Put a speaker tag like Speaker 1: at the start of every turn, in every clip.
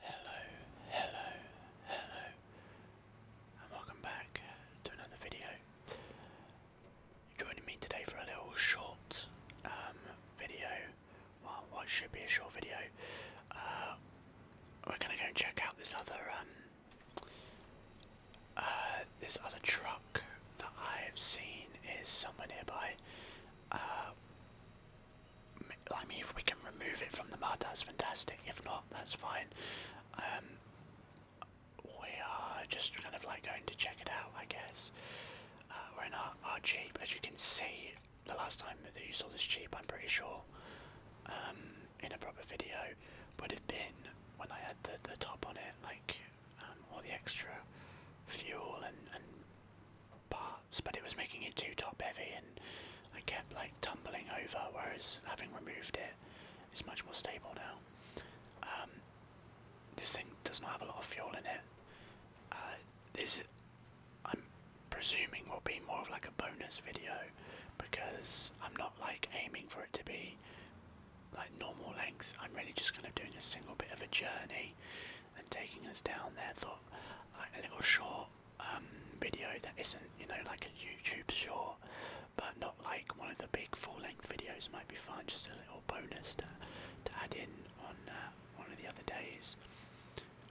Speaker 1: Hello, hello, hello, and welcome back to another video. Joining me today for a little short um, video, well, what should be a short video. Uh, we're gonna go and check out this other um, uh, this other truck that I've seen is somewhere nearby. Uh, I mean, if we can remove it from the mud, that's fantastic. If not, that's fine. Um, we are just kind of like going to check it out, I guess. Uh, we're in our, our Jeep, as you can see. The last time that you saw this Jeep, I'm pretty sure, um, in a proper video, would have been when I had the, the top on it, like um, all the extra fuel and, and but it was making it too top heavy and I kept like tumbling over, whereas having removed it, it's much more stable now. Um, this thing does not have a lot of fuel in it. Uh, this, I'm presuming, will be more of like a bonus video because I'm not like aiming for it to be like normal length. I'm really just kind of doing a single bit of a journey and taking us down there. Thought like a little short um, video that isn't, you know, like a YouTube short, but not like one of the big full-length videos might be fine. Just a little bonus to, add in on uh, one of the other days.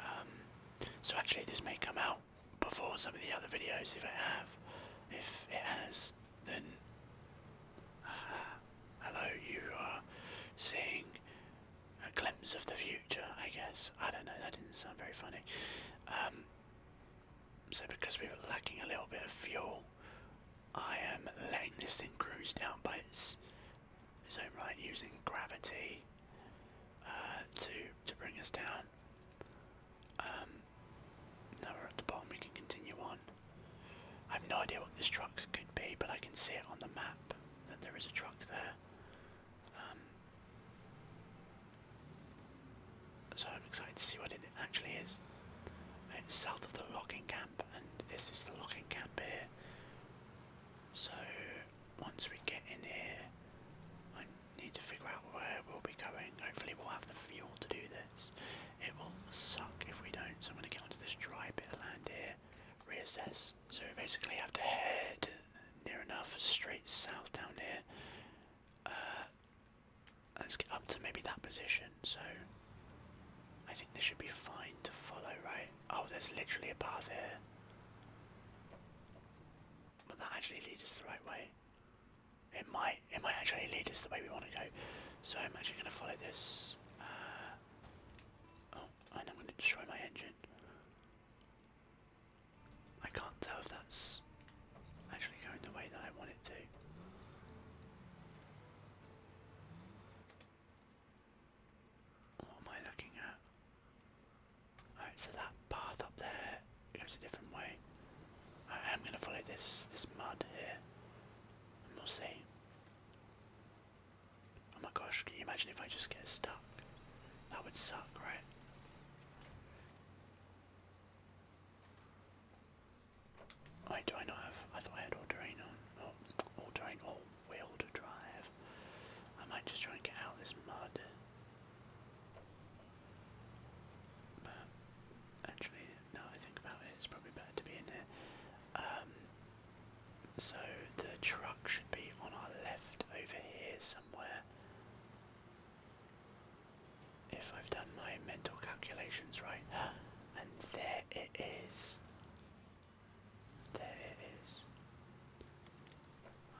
Speaker 1: Um, so actually, this may come out before some of the other videos if I have. If it has, then uh, hello, you are seeing a glimpse of the future, I guess. I don't know, that didn't sound very funny. Um, so, because we were lacking a little bit of fuel, I am letting this thing cruise down by its, its own right, using gravity uh, to, to bring us down. Um, now we're at the bottom, we can continue on. I have no idea what this truck could be, but I can see it on the map that there is a truck there. Um, so I'm excited to see what it actually is. It's south of the logging camp, and this is the logging camp here. So once we get in here, I need to figure out where we'll be going. Hopefully, we'll have the fuel to do this. It will suck if we don't. So I'm going to get onto this dry bit of land here, reassess, so we basically have to head near enough straight south down here. Uh, let's get up to maybe that position. So I think this should be fine to follow, right? Oh, there's literally a path here. But that actually leads us the right way. It might, it might actually lead us the way we want to go. So I'm actually going to follow this. Uh, oh, and I'm going to destroy my engine. I can't tell if that's actually going the way that I want it to. What am I looking at? Alright, so that path up there goes a different way. I am going to follow this this mud here, and we'll see. Oh my gosh, can you imagine if I just get stuck? That would suck, right? I do I not have I thought I had all terrain on all, all terrain all wheel drive. I might just try and get out this mud. But actually now I think about it it's probably better to be in here. Um so the truck should be on our left over here somewhere. If I've done my mental calculations right. And there it is. There it is.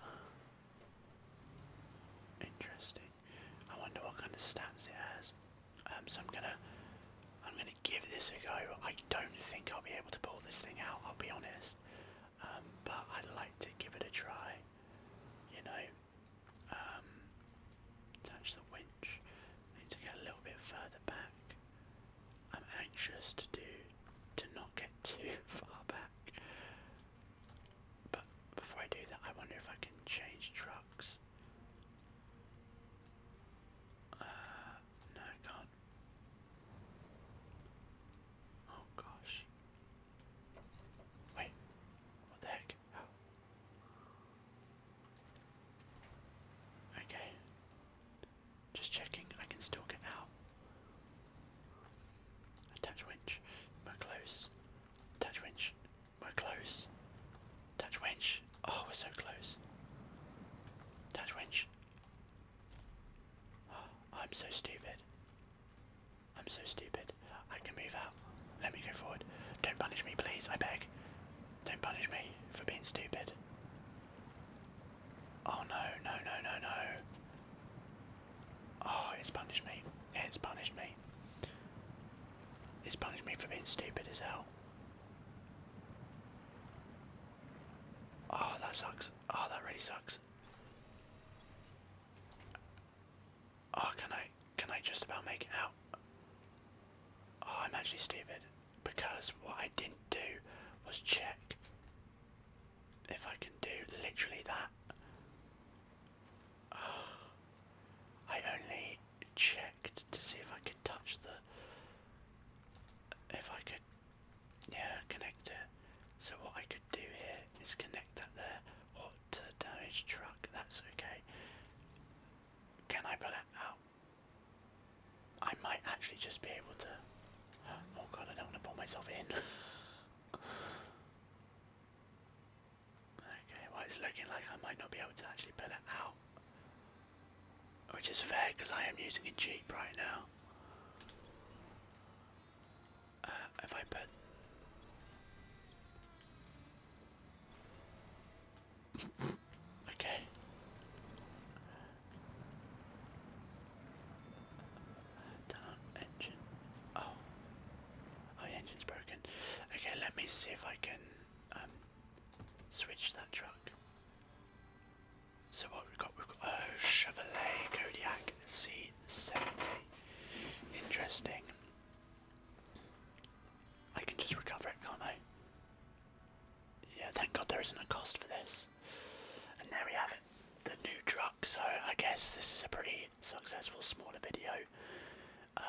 Speaker 1: Interesting. I wonder what kind of stats it has. Um, so I'm gonna, I'm gonna give this a go. I don't think I'll be able to pull this thing out, I'll be honest. Um, but I'd like to give it a try, you know. Um, touch the winch, need to get a little bit further back. I'm anxious to do, to not get too far back. But before I do that, I wonder if I can change trucks. Uh, no, can't. Oh gosh. Wait. What the heck? Okay. Just checking. I can still get out. Attach winch. We're close. Attach winch. We're close. Attach winch. Oh, we're so close. Attach winch. I'm so stupid. I'm so stupid. I can move out. Let me go forward. Don't punish me, please, I beg. Don't punish me for being stupid. Oh no, no, no, no, no. Oh, it's punished me. It's punished me. It's punished me for being stupid as hell. Oh, that sucks. Oh, that really sucks. Oh, can I can I just about make it out? Oh, I'm actually stupid because what I didn't do was check if I can do literally that. I only checked to see if I could touch the if I could yeah connect it. so what I could do here is connect that there hot to damaged truck that's okay can I pull it out I might actually just be able to oh god I don't want to pull myself in okay well it's looking like I might not be able to actually pull it out which is fair because I am using a Jeep right now. Uh, if I put. okay. Turn engine. Oh. Oh, engine's broken. Okay, let me see if I can um, switch that truck. So what we've got, we've got a Chevrolet Kodiak C70. Interesting. I can just recover it, can't I? Yeah, thank God there isn't a cost for this. And there we have it, the new truck. So I guess this is a pretty successful smaller video. Um,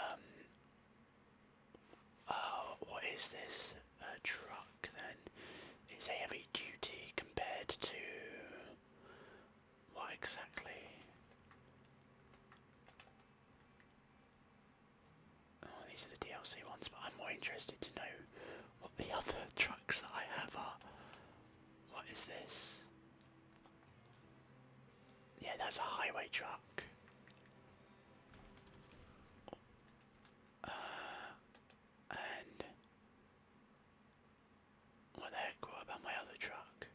Speaker 1: uh, what is this? A truck then is heavy duty compared to what exactly? Oh, these are the DLC ones, but I'm more interested to know what the other trucks that I have are. What is this? Yeah, that's a highway truck. Uh, and what the heck? What about my other truck?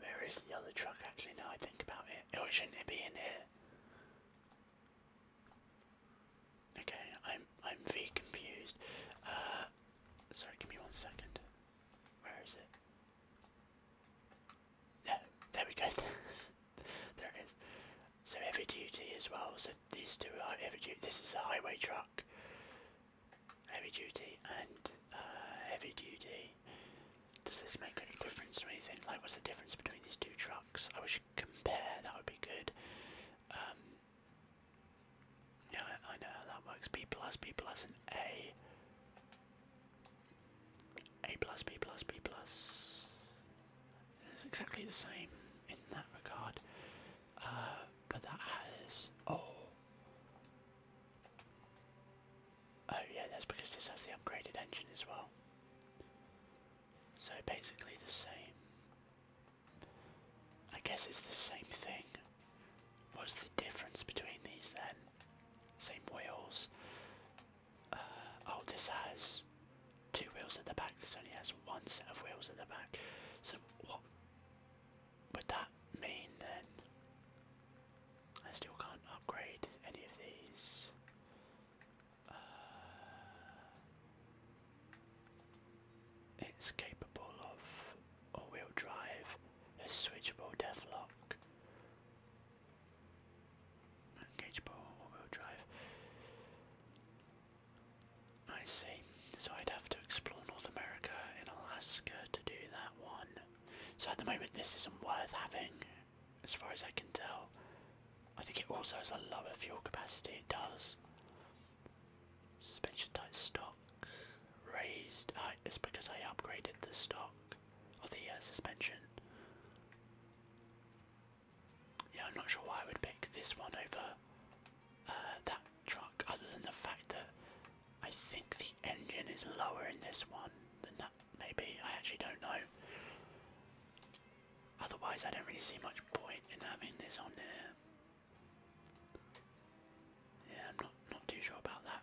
Speaker 1: Where is the other truck? Actually, now I think about it. Or oh, shouldn't it be in here? Okay, I'm I'm v confused. Uh, sorry, give me one second. Where is it? No, there we go. there So heavy duty as well. So these two are heavy duty. This is a highway truck, heavy duty, and uh, heavy duty. Does this make any difference or anything? Like, what's the difference between these two trucks? I wish you compare. That would be good. Um, yeah, I know that works. B plus, B plus, and A. A plus B plus B plus is exactly the same in that regard, uh, but that has oh oh yeah that's because this has the upgraded engine as well. So basically the same. I guess it's the same thing. What's the difference between these then? Same wheels, oh, this has two wheels at the back. This only has one set of wheels at the back. So what would that mean then? I still can't upgrade any of these. Uh, it's capable of all-wheel drive, a switchable lock. Gauge ball, all-wheel drive. I see. So I'd have to explore North America in Alaska to do that one. So at the moment, this isn't worth having, as far as I can tell. I think it also has a lower fuel capacity. It does. Suspension type stock raised. Uh, it's because I upgraded the stock of the uh, suspension. Yeah, I'm not sure why I would pick this one over uh, that truck, other than the fact that I think the engine is lower in this one than that, maybe. I actually don't know. Otherwise, I don't really see much point in having this on there. Yeah, I'm not, not too sure about that.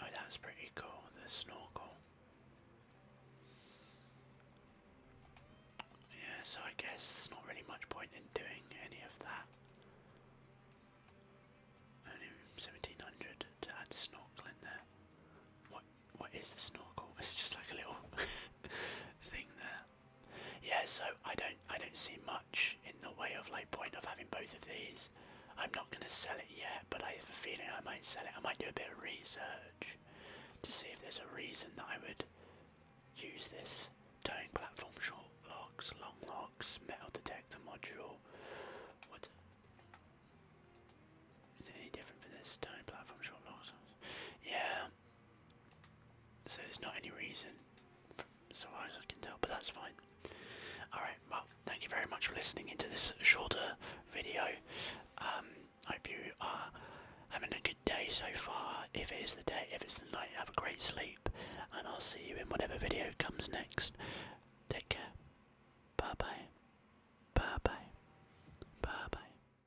Speaker 1: Oh, that's pretty cool, the snorkel. Yeah, so I guess there's not really much point in doing any of that. Only 1700 to add the snorkel in there. What? What is the snorkel? It's just like a little thing there yeah so i don't i don't see much in the way of like point of having both of these i'm not going to sell it yet but i have a feeling i might sell it i might do a bit of research to see if there's a reason that i would use this towing platform short locks long locks metal detector module what is it any different for this towing platform short locks yeah so there's not any reason, so far as I can tell, but that's fine. Alright, well, thank you very much for listening into this shorter video. I um, hope you are having a good day so far. If it is the day, if it's the night, have a great sleep. And I'll see you in whatever video comes next. Take care. Bye bye. Bye bye. Bye bye.